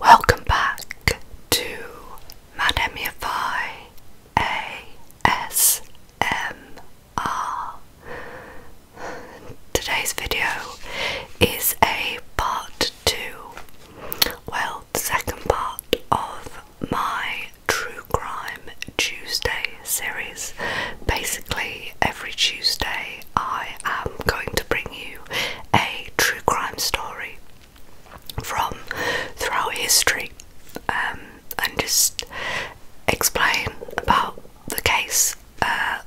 Welcome back to Madamify ASMR. Today's video is a part two, well, second part of my True Crime Tuesday series. Basically, every Tuesday I am going to bring you a true crime story from throughout history um, and just explain about the case. Uh,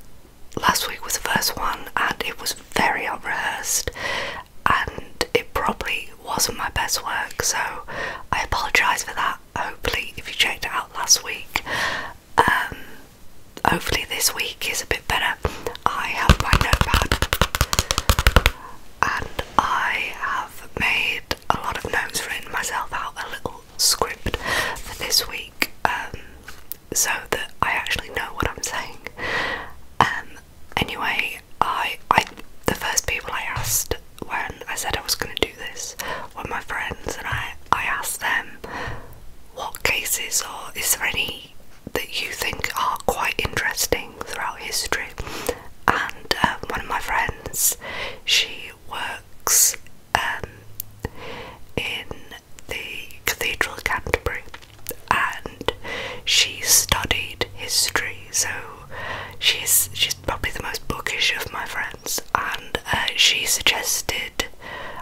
last week was the first one, and it was very unrehearsed, and it probably really wasn't my best work, so I apologise for that. Hopefully, if you checked it out last week, um, hopefully this week is a bit better. I have my notepad and I have made a lot of notes, for myself out a little script for this week um, so that I actually know what I'm saying. Um, anyway, I I the first people I asked when I said I was going to do this were my friends, and I I asked them what cases or is there any that you think are quite interesting throughout history. And um, one of my friends, she works um, in the Cathedral of Canterbury and she studied history, so she's she's probably the most bookish of my friends, and uh, she suggested,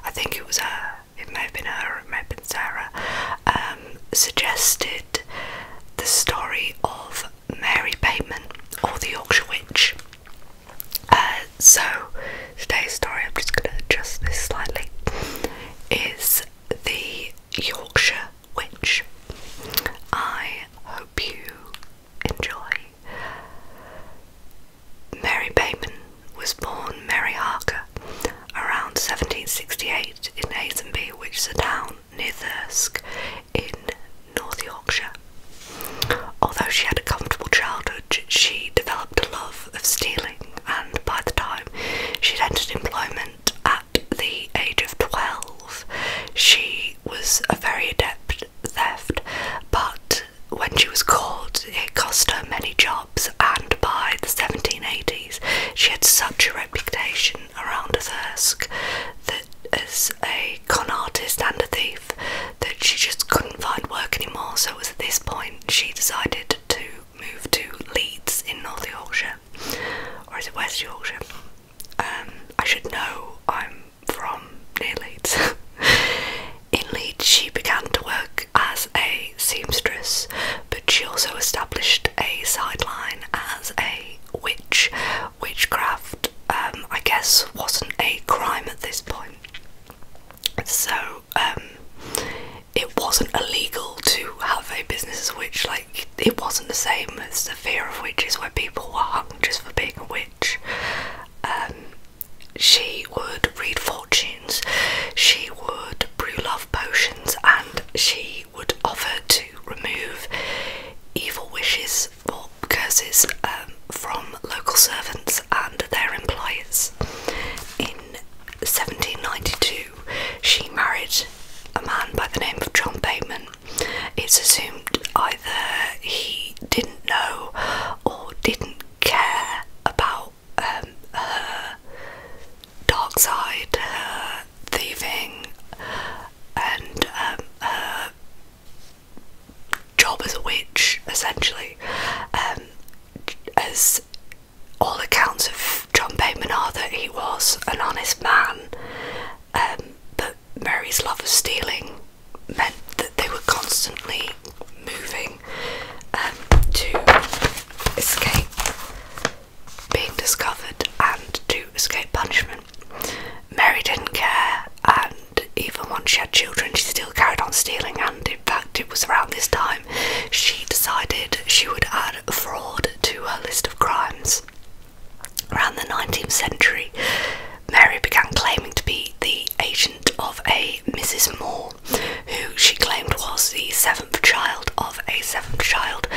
I think it was her, it may have been her, it may have been Sarah, um, suggested the story of Mary Bateman or the Yorkshire Witch. Uh, so, today's story, I'm just going to adjust this slightly, is the Yorkshire which I hope you enjoy. Mary Bateman was born Mary Harker around 1768 in Hazenby, which is a town near Thirsk in North Yorkshire. Although she had a comfortable childhood, she developed a love of stealing, and by the time she entered employment at the age of 12, she was a very adept thief, but when she was caught, it cost her many jobs. And by the 1780s, she had such a reputation around Thirsk that as a con artist and a thief, that she just couldn't find work anymore. So it was at this point she decided to move to Leeds in North Yorkshire, or is it West Yorkshire? Um, I should know I'm from near Leeds. In Leeds, she began to work as a seamstress, but she also established a sideline as a witch. Witchcraft, um, I guess, wasn't a crime at this point, so um, it wasn't illegal to have a business as a witch. Like it wasn't the same as the fear of witches where people were hung just for being a witch. Um, she would read fortunes, she would brew love potions, and she would offer to remove evil wishes or curses um, from local servants and their employers. In 1792, she married a man by the name of John Bateman, it's assumed either he didn't know or didn't care about um, her dark side, her thieving, and um, her job as a witch, essentially. Um, as all accounts of John Payne are that he was an honest man, but Mary's love of stealing meant that they were constantly moving um, to escape being discovered and to escape punishment. Mary didn't care, and even once she had children, she still carried on stealing. And in fact, it was around this time she decided she would add fraud to her list of crimes. Around the 19th century, Mary began claiming to be the agent of a Mrs. Moore, who she claimed was the seventh child of a seventh child,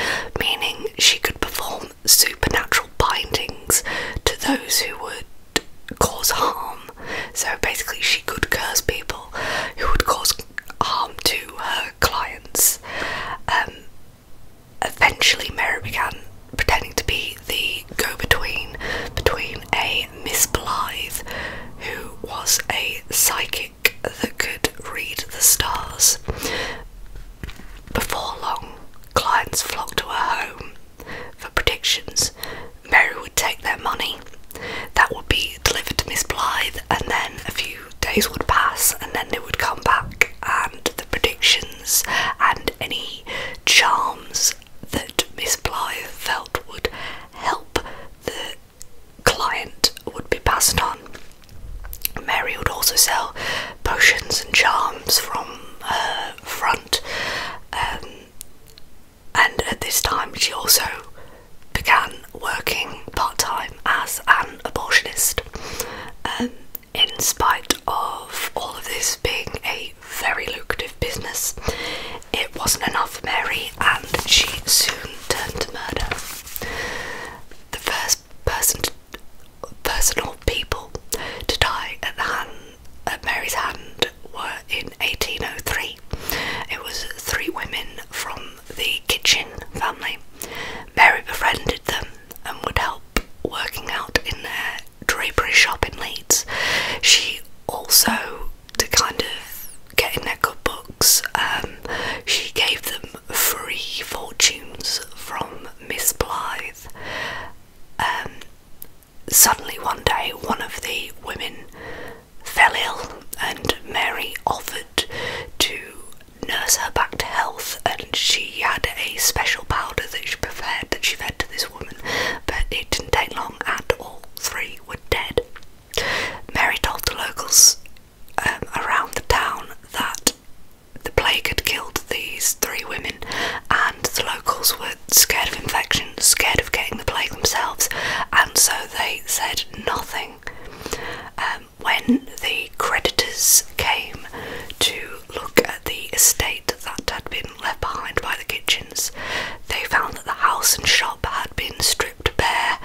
meaning she could perform supernatural bindings to those who would cause harm. So basically, she could curse people who would cause harm to her clients. Um, eventually Mary began pretending to be the go-between between a Miss Blythe, who was a psychic that could read the stars. Before long, clients flocked to her home for predictions. Mary would take their money, that would be delivered to Miss Blythe, and then a few days would pass, and then they would come back and the predictions and any charms that Miss Blythe felt would help the client would be passed on. Mary would also sell potions and charms from her front, um, and at this time she also began working part time as an abortionist. Um, in spite of all of this being a very lucrative business, it wasn't enough for Mary and she soon turned to murder. The first person, to, person or people to die at, the hand, at Mary's hand were in 1803. It was three women from the Kitchen family. Mary befriended them and would help working out in their drapery shop in Leeds. She also, to kind of get in their good books, um, she gave them free fortunes from Miss Blythe. Um, suddenly one day, one of the women fell ill, and Mary offered to nurse her back to health, and she had a special powder that she preferred that she fed to this woman, but it didn't take long and all three were dead. Mary told the locals um, around the town that the plague had killed these three women, and the locals were scared of infection, scared of getting the plague themselves, and so they said nothing. Um, when the creditors came to look the estate that had been left behind by the kitchens, they found that the house and shop had been stripped bare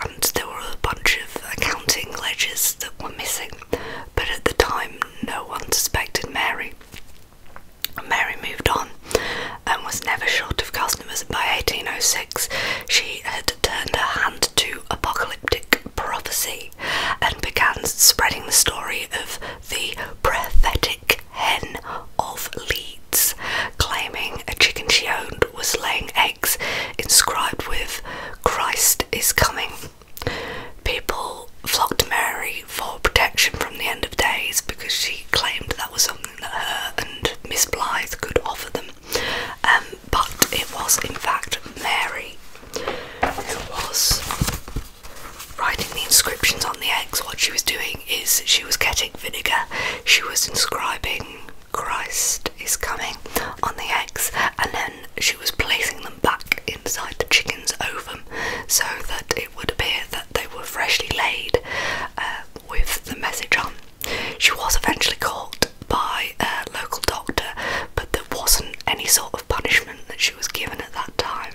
and there were a bunch of accounting ledgers that were missing, but at the time no one suspected Mary. Mary moved on and was never short of customers. By 1806, she had turned her hand to apocalyptic prophecy and began spreading the story of the prophetic hen of Leeds, claiming a chicken she owned was laying eggs inscribed with Christ is coming. People flocked to Mary for protection from the end of days because she claimed that was something that her and Miss Blythe could offer them. Um, but it was in fact Mary who was writing the inscriptions on the eggs, what she was doing is she was getting vinegar, she was inscribing Christ is coming on the eggs, and then she was placing them back inside the chicken's ovum so that it would appear that they were freshly laid uh, with the message on. She was eventually caught by a local doctor, but there wasn't any sort of punishment that she was given at that time.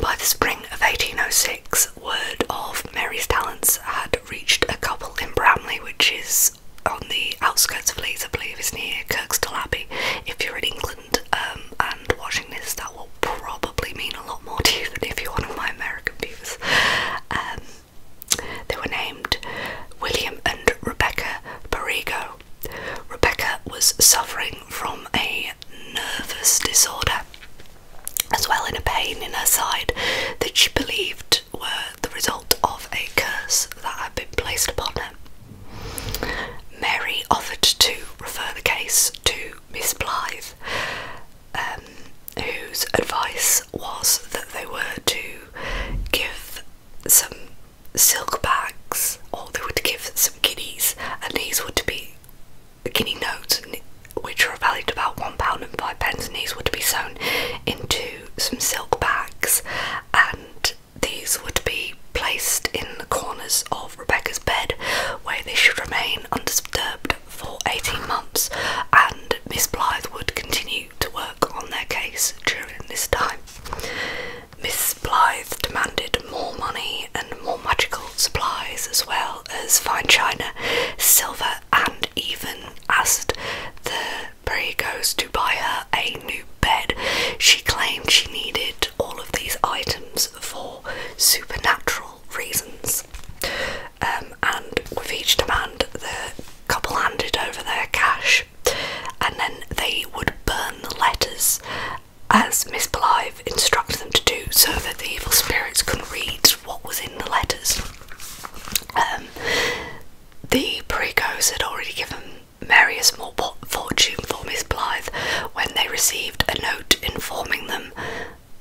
By the spring of 1806, word of Mary's talents had reached a couple in Bramley, which is on the outskirts of Leeds, I believe, it's near Kirkstall Abbey. If you're in England um, and watching this, that will probably mean a lot more to you than if you're one of my American viewers. Um, they were named William and Rebecca Borrego Rebecca was suffering from a nervous disorder, as well as a pain in her side that she believed were the result of a curse that had been placed upon her. Mary offered to refer the case to Miss Blythe, um, whose advice was that they were to give some silk bags, or they would give some guineas, and these would be guinea notes, which were valued about one pound and five pence, and these would be sewn into some silk bags, and these would be placed in the corners of Rebecca's bed, where they should remain undisturbed for 18 months, and Miss Blythe would continue to work on their case during this time. Miss Blythe demanded more money and more magical supplies, as well as fine china, silver, and even asked the Perigos to buy her a new bed. She claimed she needed all of these items for supernatural reasons. Um, and with each demand, the couple handed over their cash and then they would burn the letters as Miss Blythe instructed them to do so that the evil spirits could read what was in the letters. Um, the Pericos had already given Mary a small fortune for Miss Blythe when they received a note informing them,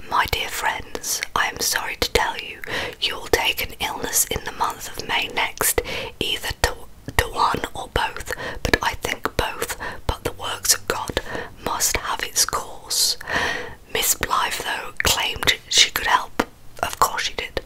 My dear friends, I am sorry to tell you, you will take an illness in the month of May next, either to, to one or both, but I think both, but the works of God must have its course. Miss Blythe, though, claimed she could help. Of course she did.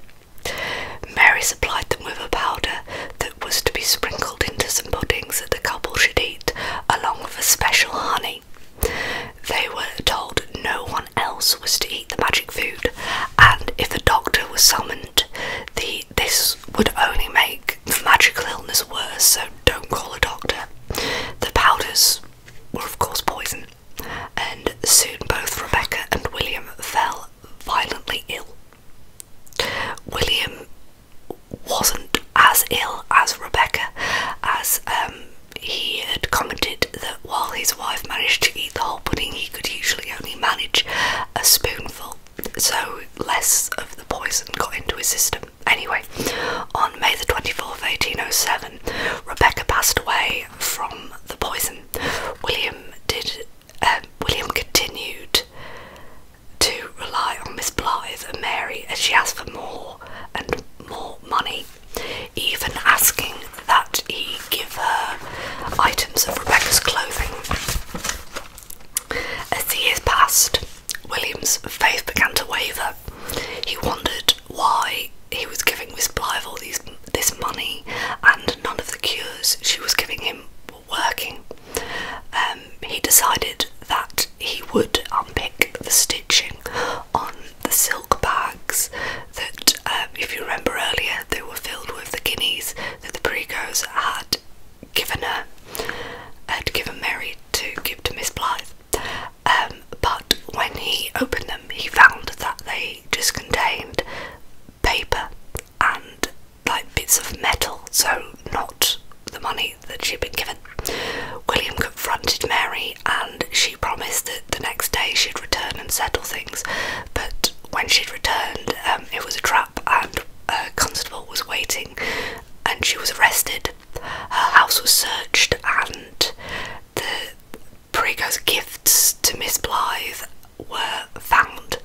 Mary supplied them with a powder that was to be sprinkled into some puddings that the couple should eat, along with a special honey. They were told no one else was to eat the magic food, and if a doctor was summoned, the this would only make the magical illness worse, so don't call a doctor. The powders were, of course, poison, and soon both Rebecca and William fell violently ill. William wasn't as ill as Rebecca, as um, he had commented that while his wife managed to eat the whole pudding, he could usually only manage a spoonful so less of the poison got into his system. Anyway, on May the 24th, 1807, Rebecca passed away from the poison. William did. Um, William continued to rely on Miss Blythe and Mary as she asked for more and more money, even asking that he give her items of Rebecca's clothing. As the years passed, William's faith began to waver. He wondered why he was giving Miss Blythe this money and none of the cures she was giving him were working. Um, he decided that he would unpick the stitching on the silk bags that, um, if you remember earlier, they were filled with the guineas that the Pericos had given her, had given Mary to give to Miss Blythe. Um, but when he opened them, he found that they just contained paper and like bits of metal, so not the money that she'd been given. William confronted Mary and she promised that the next day she'd return and settle things, but when she'd returned, um, it was a trap and a uh, constable was waiting, and she was arrested. Her house was searched, and the Perico's gifts to Miss Blythe were found.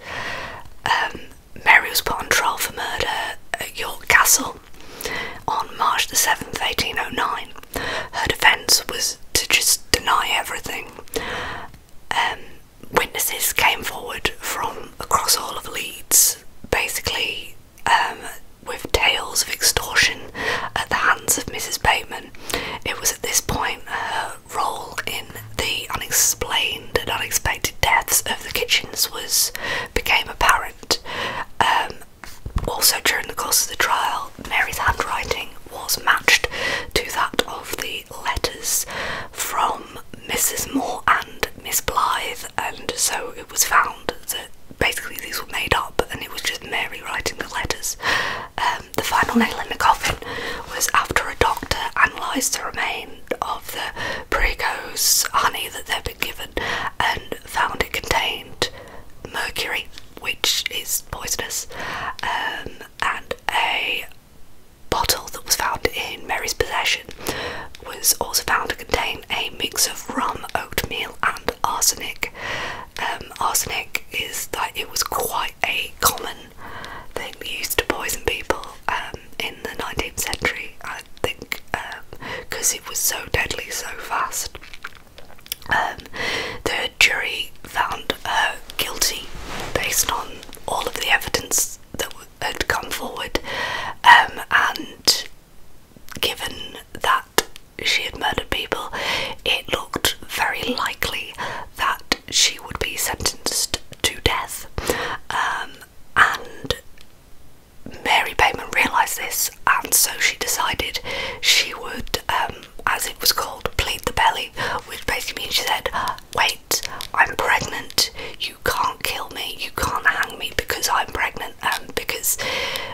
Um, Mary was put on trial for murder at York Castle on March the 7th, 1809. Her defence was to just deny everything. Um, witnesses came forward from across all of Leeds, basically um, with tales of extortion at the hands of Mrs. Bateman. It was at this point her role in the unexplained and unexpected deaths of the kitchens was became apparent. Um, also during the course of the trial, Mary's handwriting was matched to that of the letters from Mrs. Moore and Miss Blythe, and so it was found that basically these were made up and it was just Mary writing the letters. Um, the final nail in the coffin was after a doctor analysed the remains of the prego's honey that they've been given and found it contained mercury, which is poisonous, um, and a bottle that was found in Mary's possession was also found to contain a mix of rum, oatmeal, and arsenic. Um, arsenic is that it was quite a common thing used to poison people um, in the 19th century, I think, because um, it was so deadly so fast. the jury found her guilty based on all of the evidence that had come forward um, and given that she had murdered people, it looked very likely that she would be sentenced to death. Um, and Mary Payman realised this, and so she decided she would, um, as it was called, plead the belly, which basically means she said, Wait I'm pregnant, you can't kill me, you can't hang me because I'm pregnant. And um, because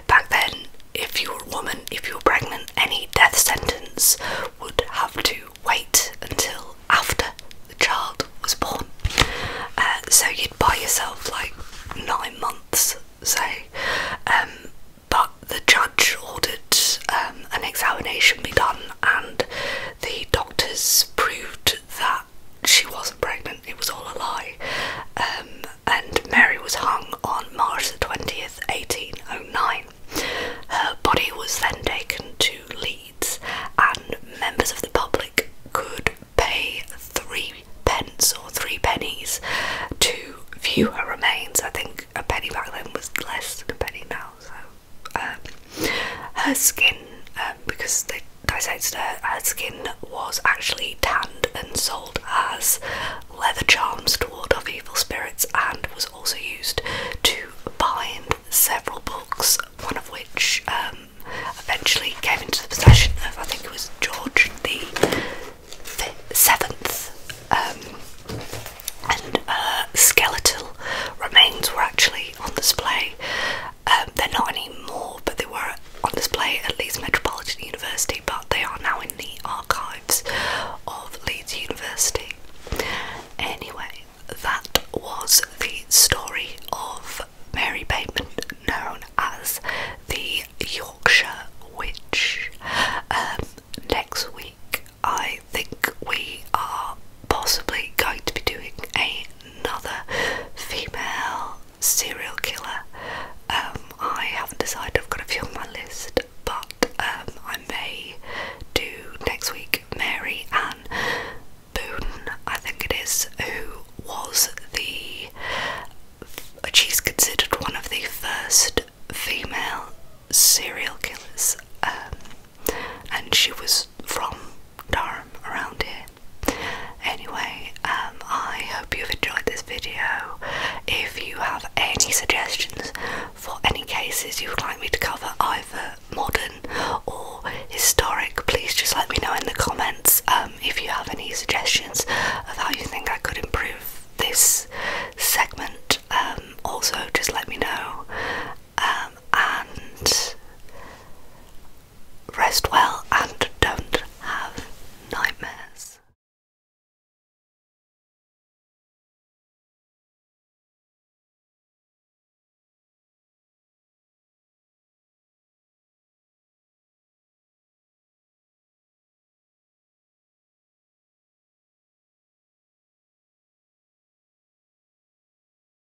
back then, if you were a woman, if you were pregnant, any death sentence would have to wait until after the child was born. Uh, so you'd buy yourself like nine months, say. Um, but the judge ordered um, an examination be done and the doctors proved that she wasn't pregnant, it was all a lie. Um, and Mary was hung on March the 20th, 1809. Her body was then taken to Leeds, and members of the public could pay three pence or three pennies to view her remains. I think a penny back then was less than a penny now, um, her skin, um, because they dissected her, skin was actually tanned and sold as leather charms to ward off evil spirits and was also used to bind several books, one of which um, eventually came into the possession of, I think it was George the Seventh, and skeletal remains were actually on display. Um, they're not anymore, but they were on display at Leeds Metropolitan University, but they are now in the archives of Leeds University. Anyway, that was the story of Mary Bateman, known as the Yorkshire Witch. Um, next week, I think we are possibly going to be doing a another female serial killer. Um, I haven't decided, I've got a few on my list, but um, I may do next week Mary Ann Boone, I think it is, who was the. Uh, she's considered one of the first female serial killers. Um, and she was from Durham around here. Anyway, um, I hope you've enjoyed this video. If you have any suggestions for any cases you would like me to cover, either modern or historic, please just let me know in the comments um, if you have any suggestions of how you think I could improve this segment. Um, also, just let me know. and rest well and don't have nightmares.